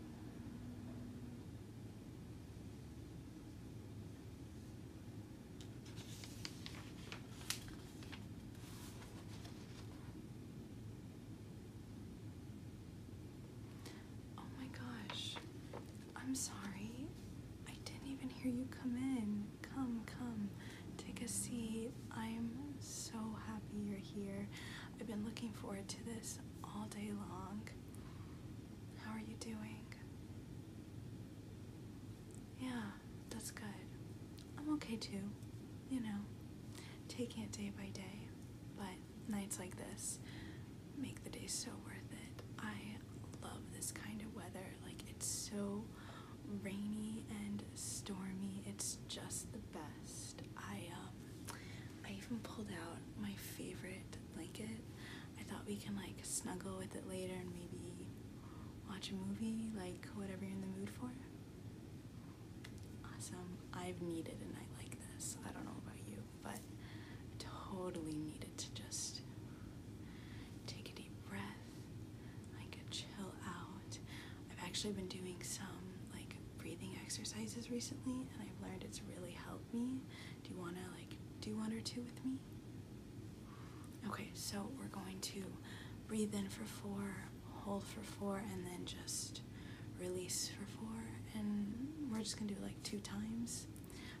Oh my gosh. I'm sorry. I didn't even hear you come in. Come, come. Take a seat. I'm so happy you're here. I've been looking forward to this all day long. How are you doing? Yeah, that's good. I'm okay too, you know. Taking it day by day, but nights like this make the day so worth it. I love this kind of weather. Like, it's so rainy and stormy. It's just the best. I, um, I even pulled out my favorite blanket. I thought we can like snuggle with it later and maybe watch a movie, like whatever you're in the mood for. Awesome. I've needed a night like this. I don't know about you, but totally needed to just take a deep breath, like chill out. I've actually been doing some like breathing exercises recently and I've learned it's really helped me. Do you want to like do one or two with me? Okay, so we're going to breathe in for four, hold for four, and then just release for four. And we're just going to do like two times.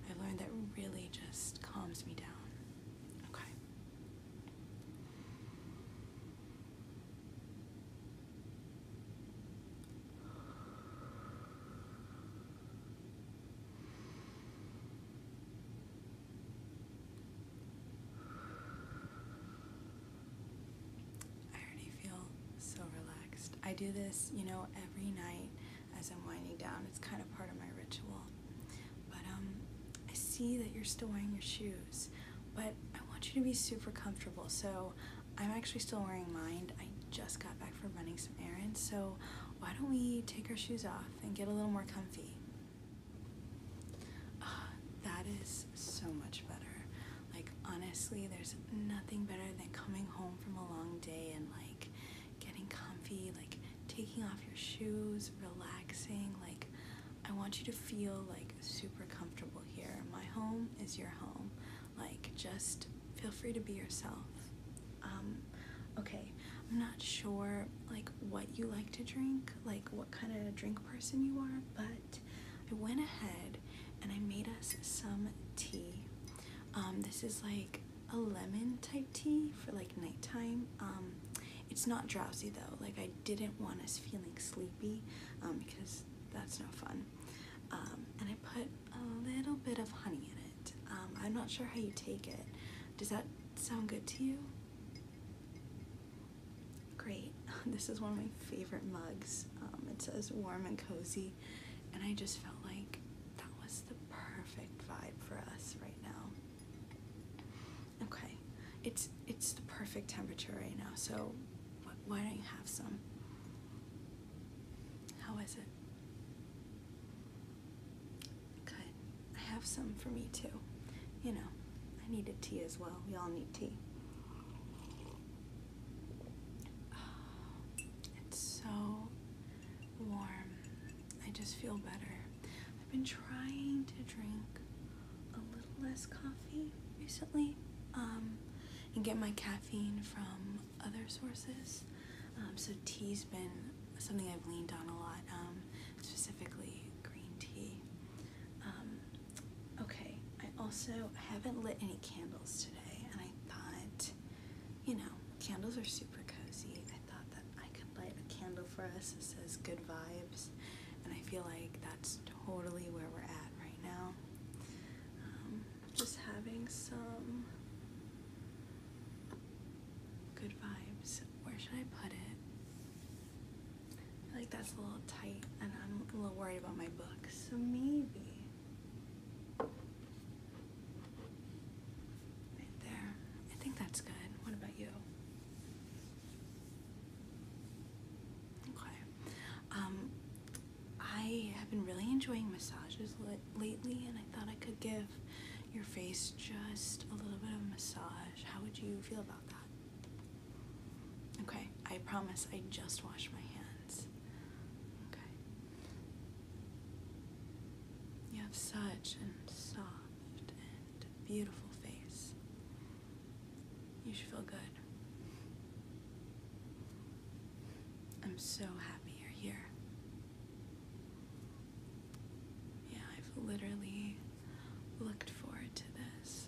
I've learned that really just calms me down. Okay. I already feel so relaxed. I do this, you know, every night as I'm winding down. It's kind of part of my ritual. But um, I see that you're still wearing your shoes, but I want you to be super comfortable. So I'm actually still wearing mine. I just got back from running some errands, so why don't we take our shoes off and get a little more comfy? Ah, that is so much better. Like, honestly, there's nothing better than coming home from a long day and, like, getting comfy, like, taking off your shoes, relaxing. Like, I want you to feel, like, super comfortable here. My home is your home. Like, just feel free to be yourself. Um, okay, I'm not sure, like, what you like to drink, like, what kind of drink person you are, but I went ahead and I made us some tea. Um, this is like a lemon type tea for like nighttime. Um, it's not drowsy though. Like I didn't want us feeling sleepy because that's no fun. Um, and I put a little bit of honey in it. Um, I'm not sure how you take it. Does that sound good to you? Great. This is one of my favorite mugs. Um, it says warm and cozy, and I just felt like that was the perfect vibe for us right now. Okay, it's it's the perfect temperature right now, so why don't you have some? How is it? Good. I have some for me too. You know, I need a tea as well. We all need tea. it's so warm. I just feel better. I've been trying to drink a little less coffee recently um, and get my caffeine from other sources. Um, so tea's been something I've leaned on a lot, um, specifically green tea. okay, I also haven't lit any candles today, and I thought, you know, candles are super cozy. I thought that I could light a candle for us that says good vibes, and I feel like that's totally where we're at right now. Um, just having some good vibes. Where should I put it? I feel like that's a little tight and I'm a little worried about my book. So maybe. Right there. I think that's good. What about you? Okay. Um, I have been really enjoying massages lately and I thought I could give your face just a little bit of a massage. How would you feel about that? Okay, I promise I just washed my hands. Okay. You have such a soft and beautiful face. You should feel good. I'm so happy you're here. Yeah, I've literally looked forward to this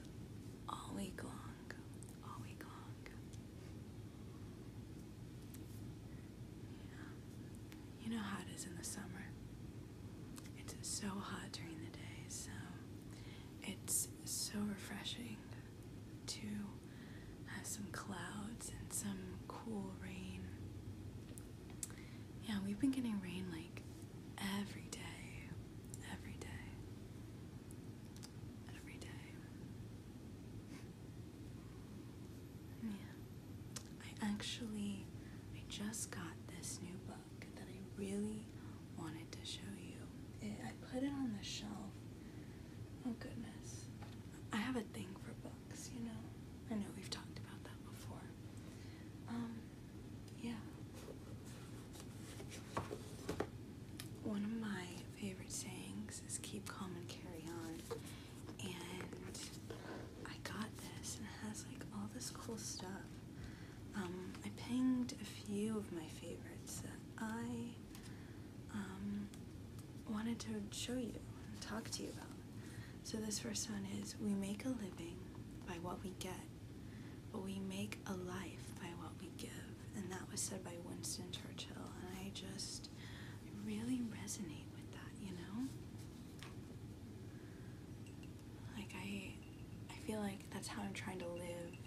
all week long. All week long. You know how it is in the summer. It's so hot during the day, so it's so refreshing to have some clouds and some cool rain. Yeah, we've been getting rain like every day, every day, every day. Yeah, I actually, I just got this new book that I really wanted to show you. I put it on the shelf. Oh goodness. I have a thing for books, you know. I know we've talked about that before. Um, yeah. One of my favorite sayings is keep calm and carry on. And I got this and it has like all this cool stuff. Um, I pinged a few of my favorites that I um, wanted to show you and talk to you about. So this first one is, we make a living by what we get, but we make a life by what we give. And that was said by Winston Churchill, and I just really resonate with that, you know? Like I, I feel like that's how I'm trying to live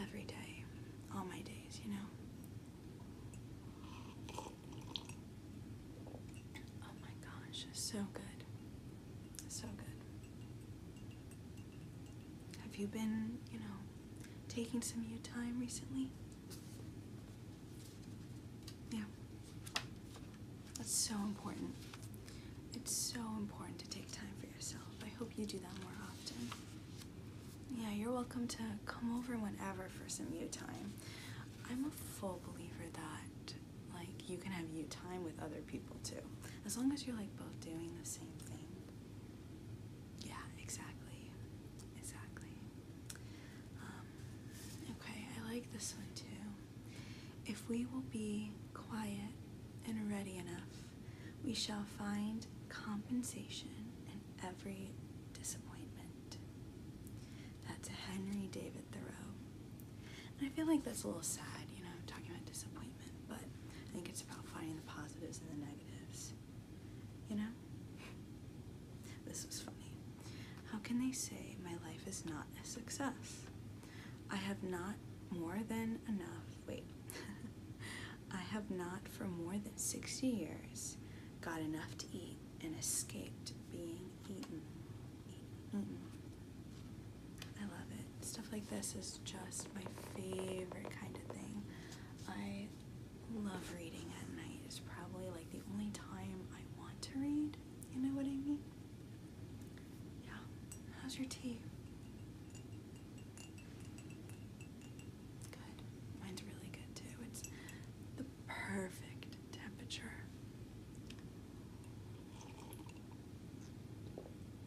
every day, all my days, you know? Oh my gosh, so good. So good. Have you been, you know, taking some of your time recently? Yeah. That's so important. It's so important to take time for yourself. I hope you do that more often. Yeah, you're welcome to come over whenever for some you time. I'm a full believer that like you can have you time with other people too. As long as you're like both doing the same thing. Yeah, exactly. Exactly. Um, okay, I like this one too. If we will be quiet and ready enough we shall find compensation in every disappointment. That's Henry David Thoreau. And I feel like that's a little sad, you know, talking about disappointment, but I think it's about finding the positives and the negatives. You know? this is funny. How can they say my life is not a success? I have not more than enough, wait, I have not for more than 60 years got enough to eat and escaped being eaten. eaten. I love it. Stuff like this is just my favorite kind of thing. I love reading at night. It's probably like the only time I want to read. You know what I mean? Yeah. How's your tea? Good. Mine's really good too. It's the perfect temperature.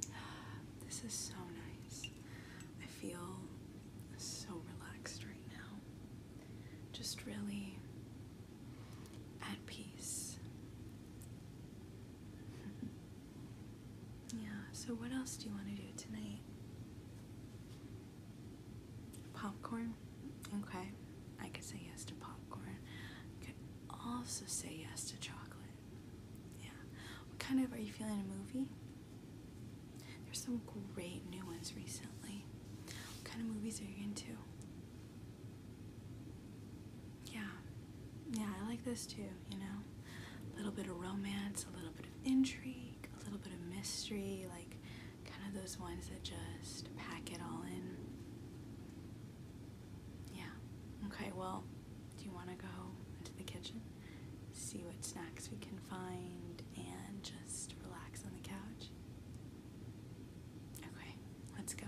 This is so nice. I feel so relaxed right now. Just really at peace. Yeah, so what else do you want to do tonight? Popcorn? Okay, I could say yes to popcorn. I could also say yes to chocolate. Yeah. What kind of, are you feeling a movie? There's some great new ones recently. What kind of movies are you into? Yeah. Yeah, I like this too you know? A little bit of romance, a little bit of intrigue, a little bit of mystery, like kind of those ones that just pack it all in. Yeah. Okay, well, do you want to go into the kitchen, see what snacks we can find, and just relax on the couch? Okay, let's go.